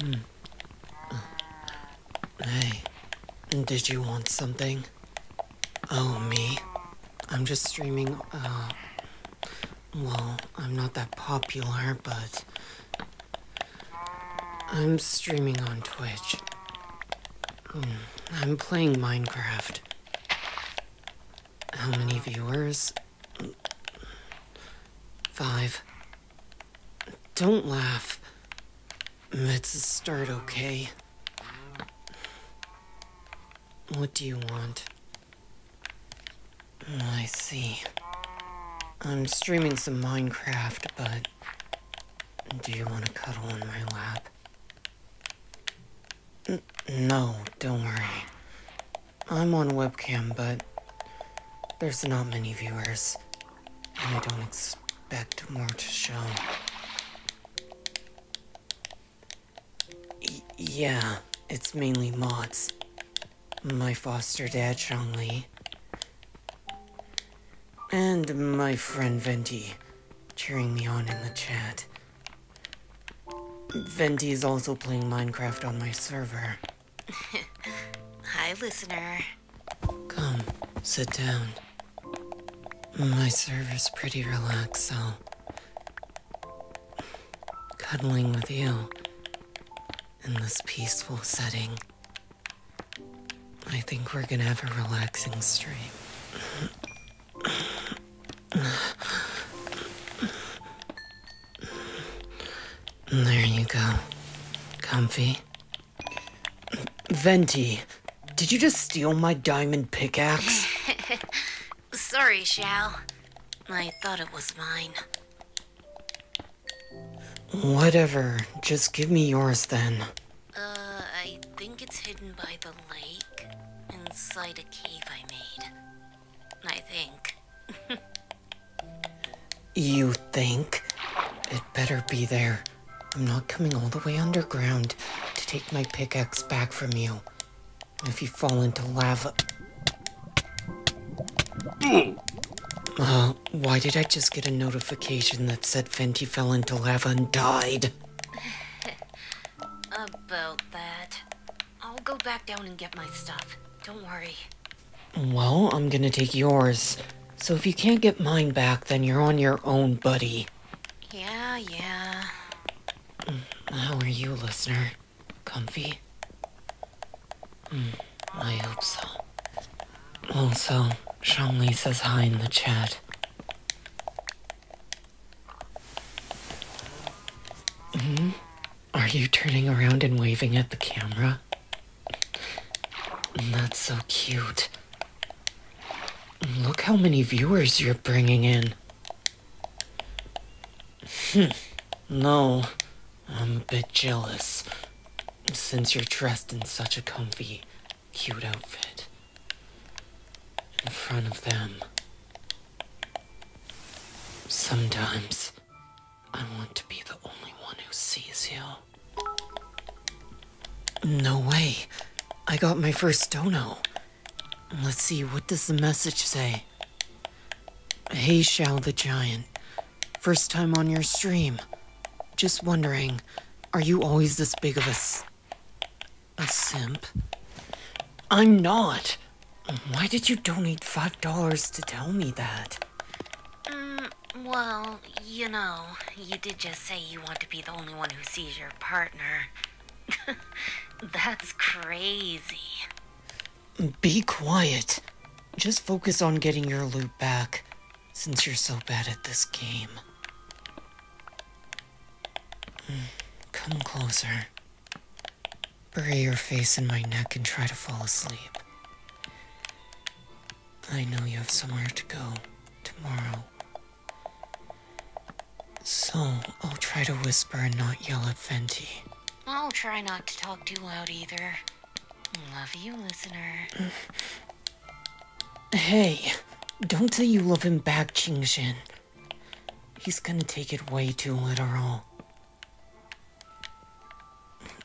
Hmm. Hey, did you want something? Oh, me? I'm just streaming, uh, Well, I'm not that popular, but... I'm streaming on Twitch. Hmm, I'm playing Minecraft. How many viewers? Five. Don't laugh. It's a start, okay? What do you want? Mm, I see. I'm streaming some Minecraft, but... Do you want to cuddle in my lap? no, don't worry. I'm on webcam, but there's not many viewers, and I don't expect more to show. yeah, it's mainly mods. My foster dad, Chang And my friend Venti, cheering me on in the chat. Venti is also playing Minecraft on my server. Hi, listener. Come, sit down. My server's pretty relaxed, so... Cuddling with you in this peaceful setting. I think we're gonna have a relaxing stream. There you go. Comfy. Venti, did you just steal my diamond pickaxe? Sorry, Shao. I thought it was mine. Whatever. Just give me yours then. Uh, I think it's hidden by the lake. Inside a cave I made. I think. You think? It better be there. I'm not coming all the way underground to take my pickaxe back from you. If you fall into lava. Uh, why did I just get a notification that said Fenty fell into lava and died? About that. I'll go back down and get my stuff. Don't worry. Well, I'm gonna take yours. So if you can't get mine back, then you're on your own, buddy. Yeah, yeah. Mm, how are you, listener? Comfy? Mm, I hope so. Also, Shanli says hi in the chat. hmm? Are you turning around and waving at the camera? That's so cute. Look how many viewers you're bringing in. Hm. no, I'm a bit jealous. Since you're dressed in such a comfy, cute outfit. In front of them. Sometimes. I want to be the only one who sees you. No way. I got my first dono. Let's see, what does the message say? Hey, Shao the Giant. First time on your stream. Just wondering, are you always this big of a... a simp? I'm not! Why did you donate five dollars to tell me that? Mm, well, you know, you did just say you want to be the only one who sees your partner. That's crazy. Be quiet. Just focus on getting your loot back, since you're so bad at this game. Hmm, come closer. Bury your face in my neck and try to fall asleep. I know you have somewhere to go tomorrow. So, I'll try to whisper and not yell at Fenty. I'll try not to talk too loud either. Love you, listener. Hey, don't say you love him back, Qingxin. He's gonna take it way too literal.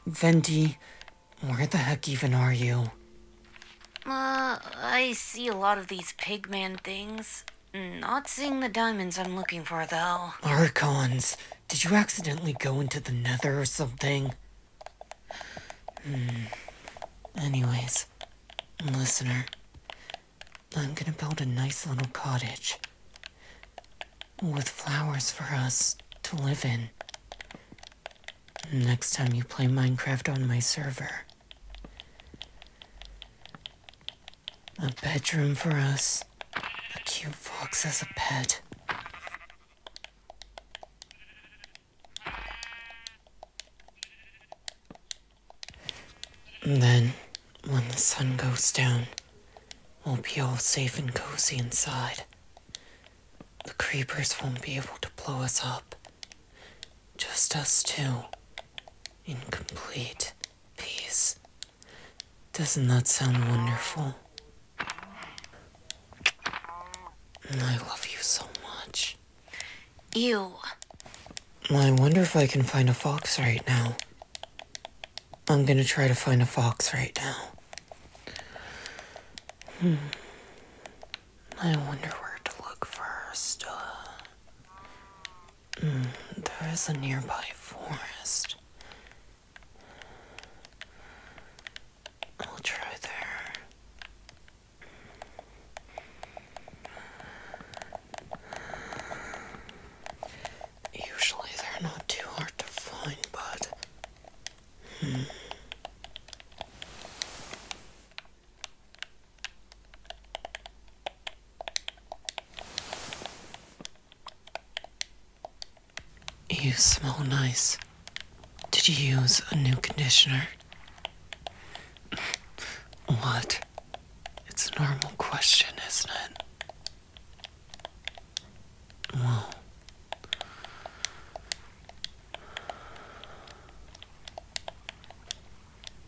Venti, where the heck even are you? Uh, I see a lot of these pigman things. Not seeing the diamonds I'm looking for, though. Archons, did you accidentally go into the nether or something? Hmm. Anyways, listener, I'm gonna build a nice little cottage with flowers for us to live in. Next time you play Minecraft on my server, a bedroom for us, a cute fox as a pet. And then when the sun goes down, we'll be all safe and cozy inside. The creepers won't be able to blow us up. Just us two. In complete peace. Doesn't that sound wonderful? I love you so much. Ew. I wonder if I can find a fox right now. I'm gonna try to find a fox right now. Hmm. I wonder where to look first. Uh, there is a nearby forest. I'll try there. Usually they're not too hard to find, but. Hmm. You smell nice. Did you use a new conditioner? what? It's a normal question, isn't it? Well,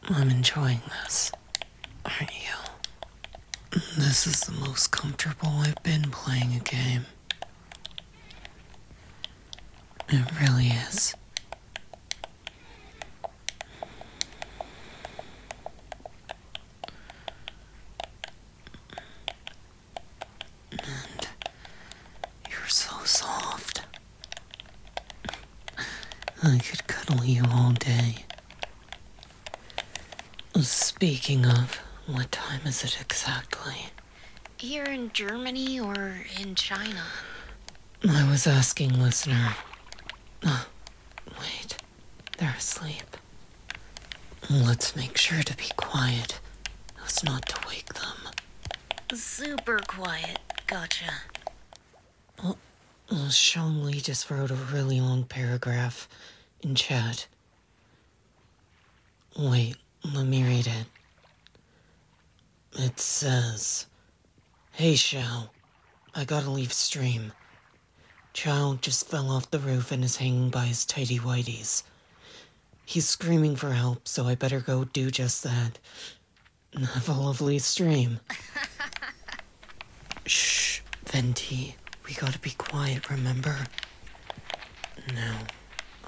I'm enjoying this, aren't you? This is the most comfortable I've been playing a game. It really is. And you're so soft. I could cuddle you all day. Speaking of, what time is it exactly? Here in Germany or in China? I was asking, listener. Ah, wait. They're asleep. Let's make sure to be quiet. Us not to wake them. Super quiet. Gotcha. Oh, well, Sean Lee just wrote a really long paragraph in chat. Wait, let me read it. It says. Hey, Shao. I gotta leave stream. Child just fell off the roof and is hanging by his tidy whities. He's screaming for help, so I better go do just that. Have a lovely stream. Shh, Venti. We gotta be quiet, remember? No,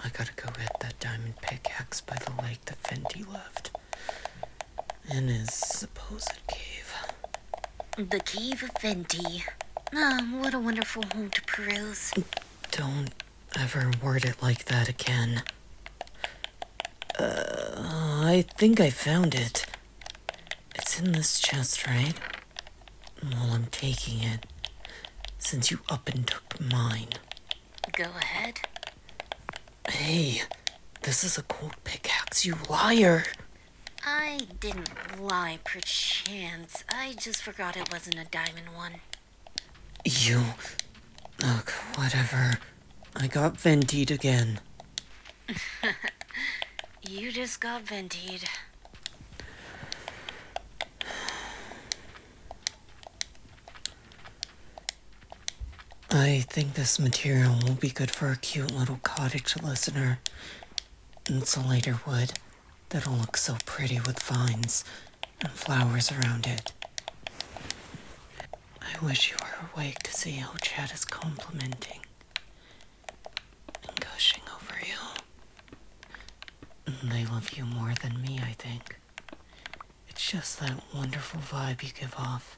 I gotta go get that diamond pickaxe by the lake that Venti left in his supposed cave. The Cave of Venti. Ah, what a wonderful home to peruse. Don't ever word it like that again. Uh, I think I found it. It's in this chest, right? Well, I'm taking it, since you up and took mine. Go ahead. Hey, this is a gold pickaxe, you liar. I didn't lie, perchance. I just forgot it wasn't a diamond one. You. Look, whatever. I got vented again. you just got vented. I think this material will be good for a cute little cottage listener. Insulator wood that'll look so pretty with vines and flowers around it. I wish you were awake to see how Chad is complimenting and gushing over you. They love you more than me, I think. It's just that wonderful vibe you give off.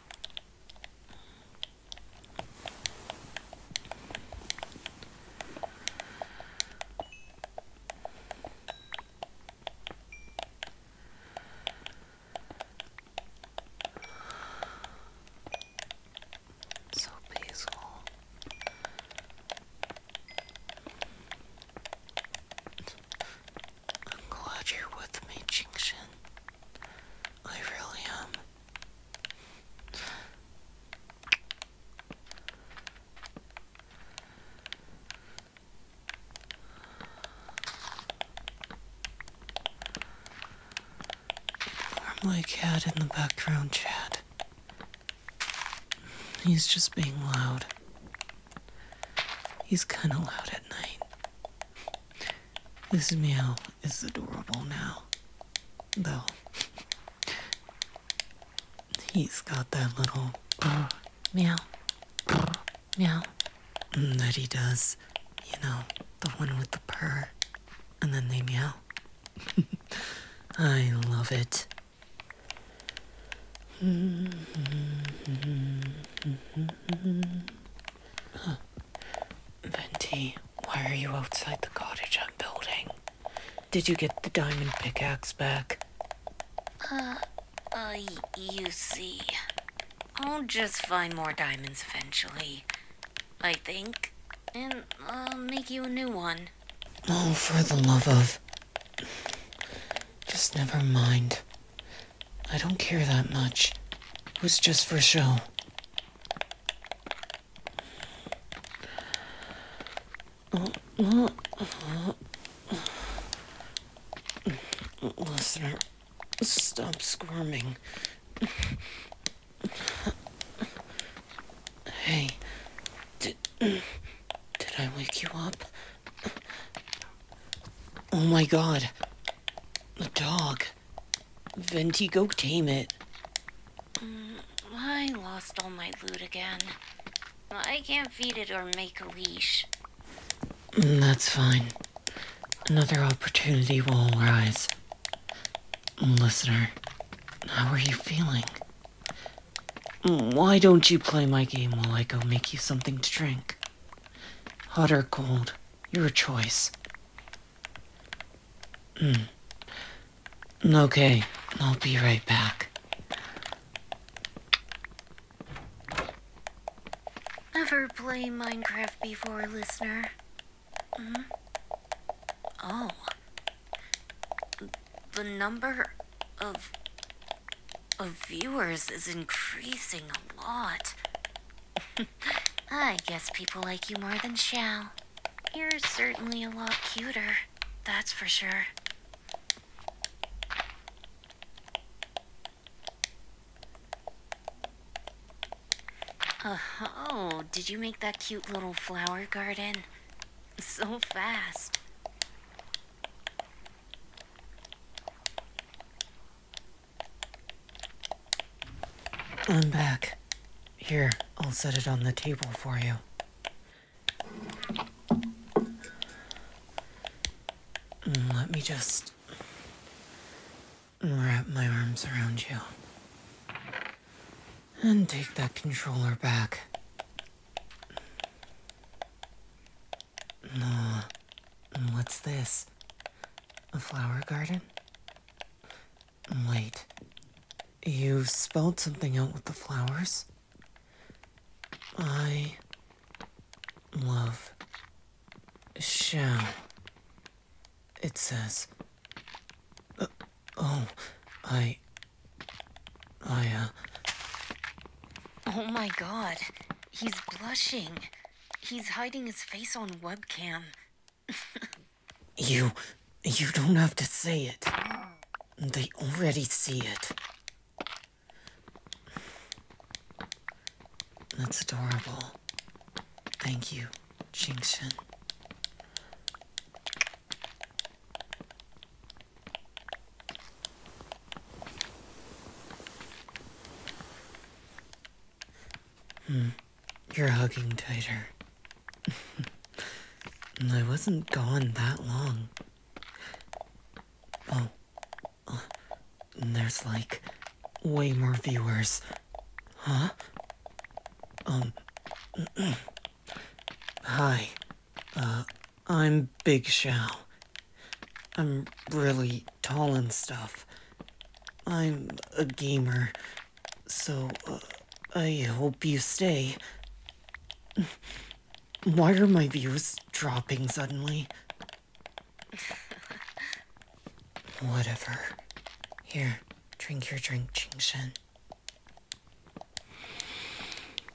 So peaceful. I'm glad you're with me, Jinxin. I really am. Ignore my cat in the background chat. He's just being loud. He's kinda loud at night. This meow is adorable now, though. He's got that little brr, meow, meow that he does, you know, the one with the purr, and then they meow. I love it. Mm-hmm. Mm-hmm. Venti, why are you outside the cottage I'm building? Did you get the diamond pickaxe back? Uh, uh, you see, I'll just find more diamonds eventually, I think, and I'll make you a new one. Oh, for the love of. Just never mind. I don't care that much. It was just for show. Listener, stop squirming. Hey, did, did I wake you up? Oh my god. The dog. Venti, go tame it. Mm, I lost all my loot again. I can't feed it or make a leash. Mm, that's fine. Another opportunity will arise. Mm, listener, how are you feeling? Why don't you play my game while I go make you something to drink? Hot or cold, your choice. Hmm. Okay, I'll be right back. Never played Minecraft before, listener. Hmm? Oh. The number of of viewers is increasing a lot. I guess people like you more than Xiao. You're certainly a lot cuter, that's for sure. Oh, did you make that cute little flower garden? So fast. I'm back. Here, I'll set it on the table for you. Let me just wrap my arms around you and take that controller back. No. Uh, mm, what's this? A flower garden? Wait. You spelled something out with the flowers? I love shall. It says. Uh, oh, I. I, uh. Oh my god. He's blushing. He's hiding his face on webcam. you. you don't have to say it. They already see it. That's adorable. Thank you, Jinxin. Hmm. You're hugging tighter. I wasn't gone that long. Oh. Uh, there's like way more viewers. Huh? Um. Hi. Uh, I'm Big Shao. I'm really tall and stuff. I'm a gamer, so uh, I hope you stay. Why are my views dropping suddenly? Whatever. Here, drink your drink, Qing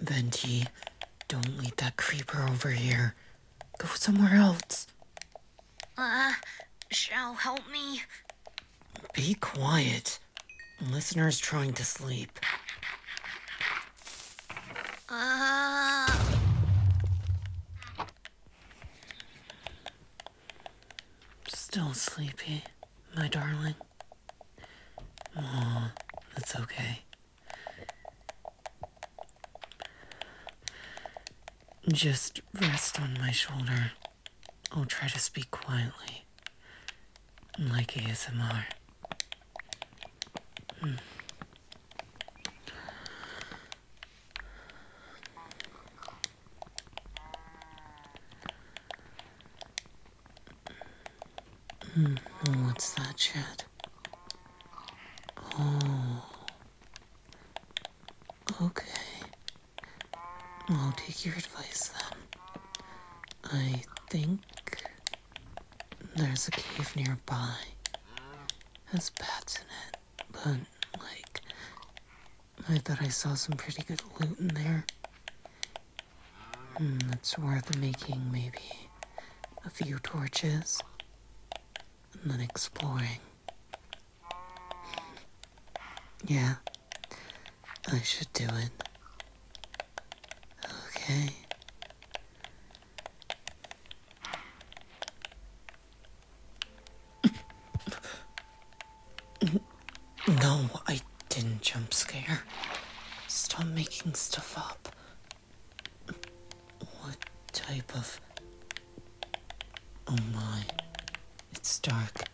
Venti, don't lead that creeper over here. Go somewhere else. Uh, shall help me? Be quiet. Listener's trying to sleep. Uh... Still sleepy, my darling? Aw, that's okay. Just rest on my shoulder. I'll try to speak quietly, like ASMR. Hmm. Mm, what's that shit? Oh. Okay. I'll take your advice then. I think there's a cave nearby. Has bats in it, but like I thought I saw some pretty good loot in there. Hmm, it's worth making maybe a few torches and then exploring. Yeah, I should do it. Okay. no, I didn't jump scare. Stop making stuff up. What type of. Oh my. It's dark.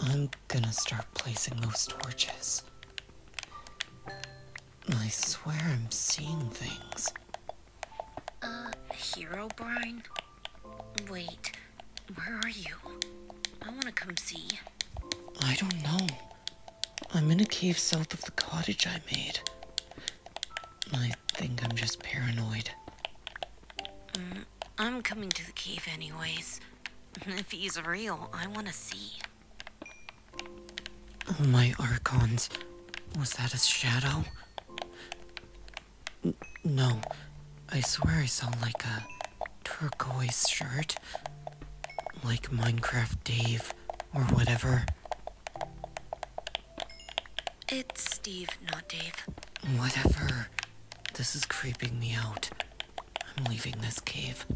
I'm gonna start placing those torches. I swear I'm seeing things. Uh, Hero Brine? Wait, where are you? I wanna come see. I don't know. I'm in a cave south of the cottage I made. I think I'm just paranoid. Mm, I'm coming to the cave anyways. If he's real, I want to see. Oh, my archons. Was that a shadow? no. I swear I saw like a turquoise shirt like Minecraft Dave or whatever. It's Steve, not Dave. Whatever. This is creeping me out. I'm leaving this cave.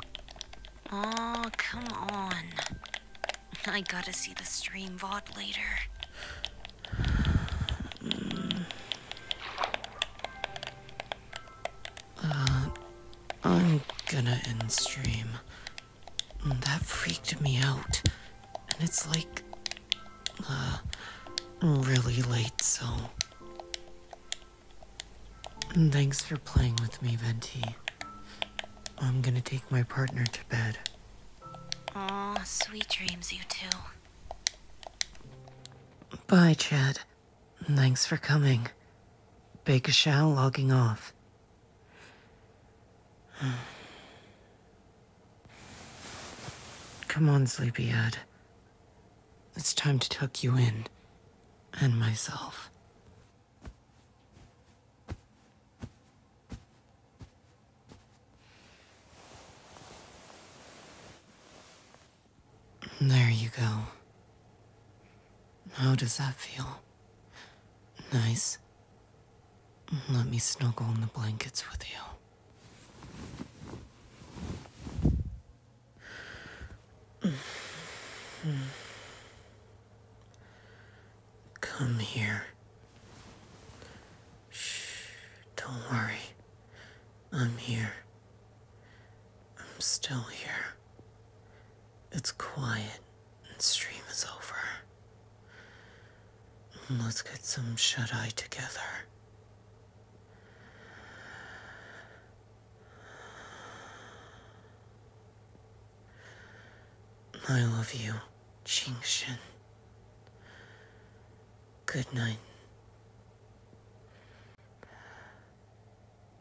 Oh, come on. I gotta see the stream VOD later. Hmm. Uh, I'm gonna end stream. Mm, that freaked me out. And it's like, uh, really late, so. Thanks for playing with me, Venti. I'm gonna take my partner to bed. Aw, sweet dreams, you two. Bye, Chad. Thanks for coming. Big Shao logging off. Come on, sleepyhead. It's time to tuck you in. And myself. There you go. How does that feel? Nice. Let me snuggle in the blankets with you. Come here. Shh, don't worry. I'm here. I'm still here. It's quiet and stream is over. Let's get some shut eye together. I love you, Qingshin. Good night.